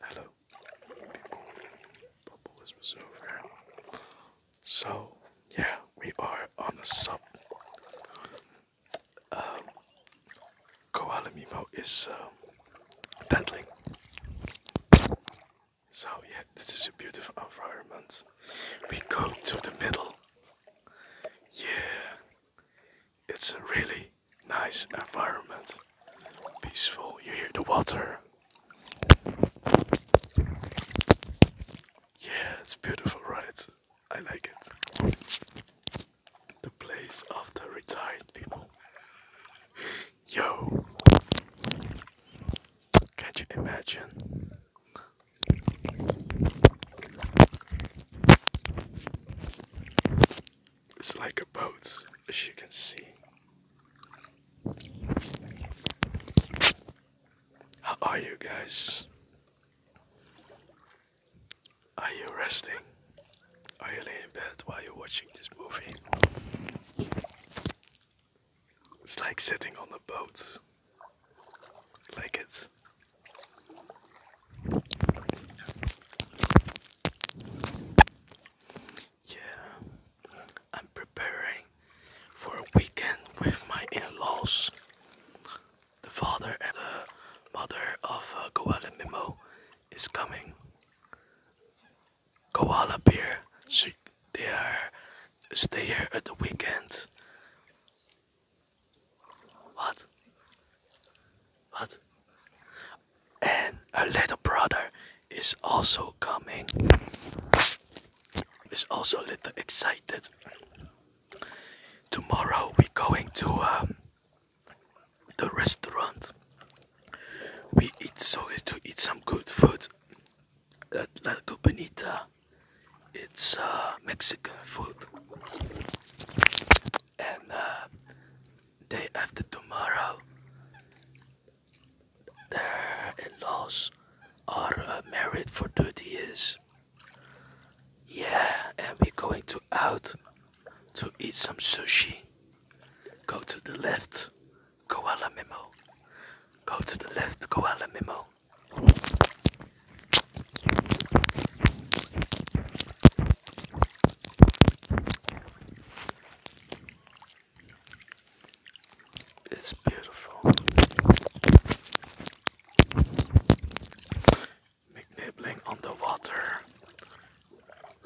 Hello, people. Bubble is over. So, yeah, we are on the sub. Um, Koala Mimo is um, paddling. So, yeah, this is a beautiful environment. We go to the middle. Yeah, it's a really nice environment. Peaceful. You hear the water. Yeah, it's beautiful, right? I like it. The place of the retired people. Yo! Can you imagine? It's like a boat, as you can see. How are you guys? Are you resting? Are you laying in bed while you're watching this movie? It's like sitting on the boat. Like it. Yeah, I'm preparing for a weekend with my in-laws, the father and the mother of uh, Koala is coming. Koala Beer, so they are stay here at the weekend. What? What? And her little brother is also coming. Is also a little excited. Tomorrow we're going to um, the restaurant. We eat so to eat some good food at La Copenita. It's uh, Mexican food and uh, day after tomorrow their in are uh, married for 30 years yeah and we're going to out to eat some sushi go to the left koala memo go to the left koala memo it's beautiful. Big on the water,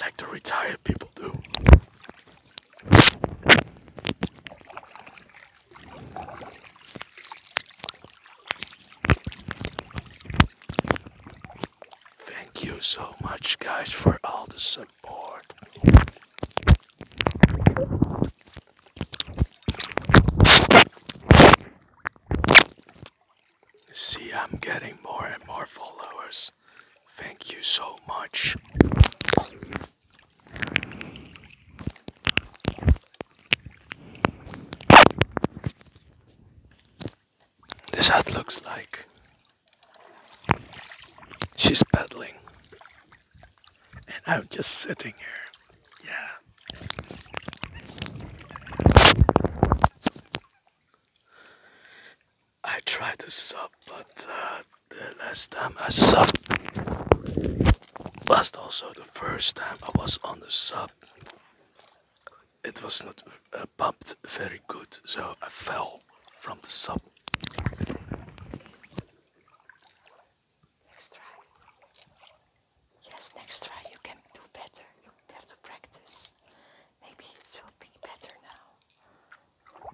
like the retired people do. Thank you so much, guys, for all the support. See, I'm getting more and more followers. Thank you so much. This hat looks like she's paddling, and I'm just sitting here. Yeah. I tried to sub, but uh, the last time I subbed was also the first time I was on the sub it was not uh, pumped very good, so I fell from the sub. Next try. Yes, next try you can do better. You have to practice. Maybe it will be better now.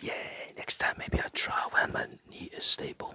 Yeah, next time maybe I try when my knee is stable.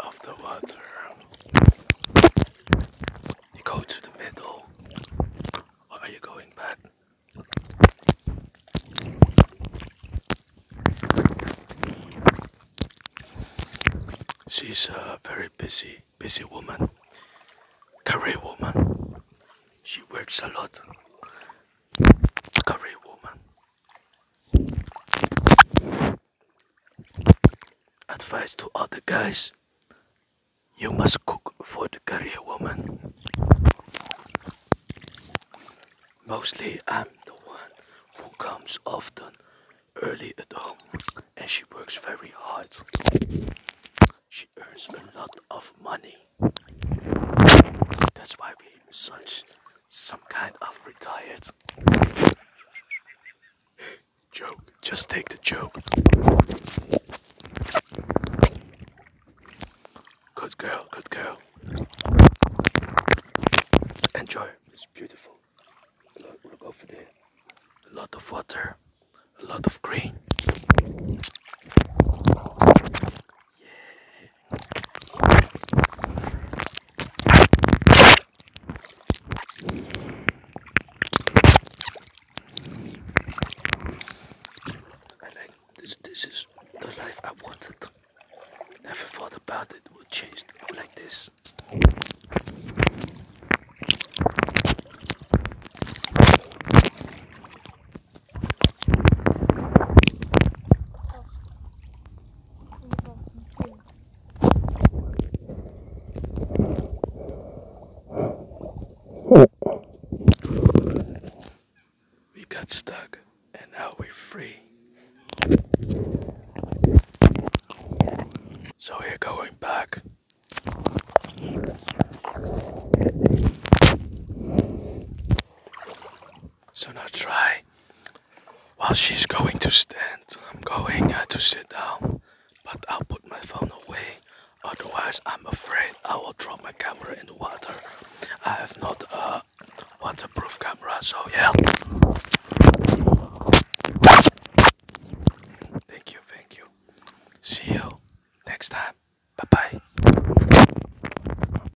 of the water. You go to the middle, or are you going back? She's a very busy, busy woman, career woman. She works a lot. Career woman. Advice to other guys you must cook for the career woman. Mostly, I'm the one who comes often early at home and she works very hard. She earns a lot of money. That's why we such some kind of retired Joke. Just take the joke. Good girl, good girl. Enjoy. It's beautiful. Look over there. A lot of water, a lot of green. Yeah. I like this. This is the life I wanted. Never thought about it would change like this. We got stuck and now we're free. So we're going back. So now try. While she's going to stand, I'm going uh, to sit down. But I'll put my phone away. Otherwise, I'm afraid I will drop my camera in the water. I have not a waterproof camera, so yeah. Thank you, thank you. See you next time. Bye bye.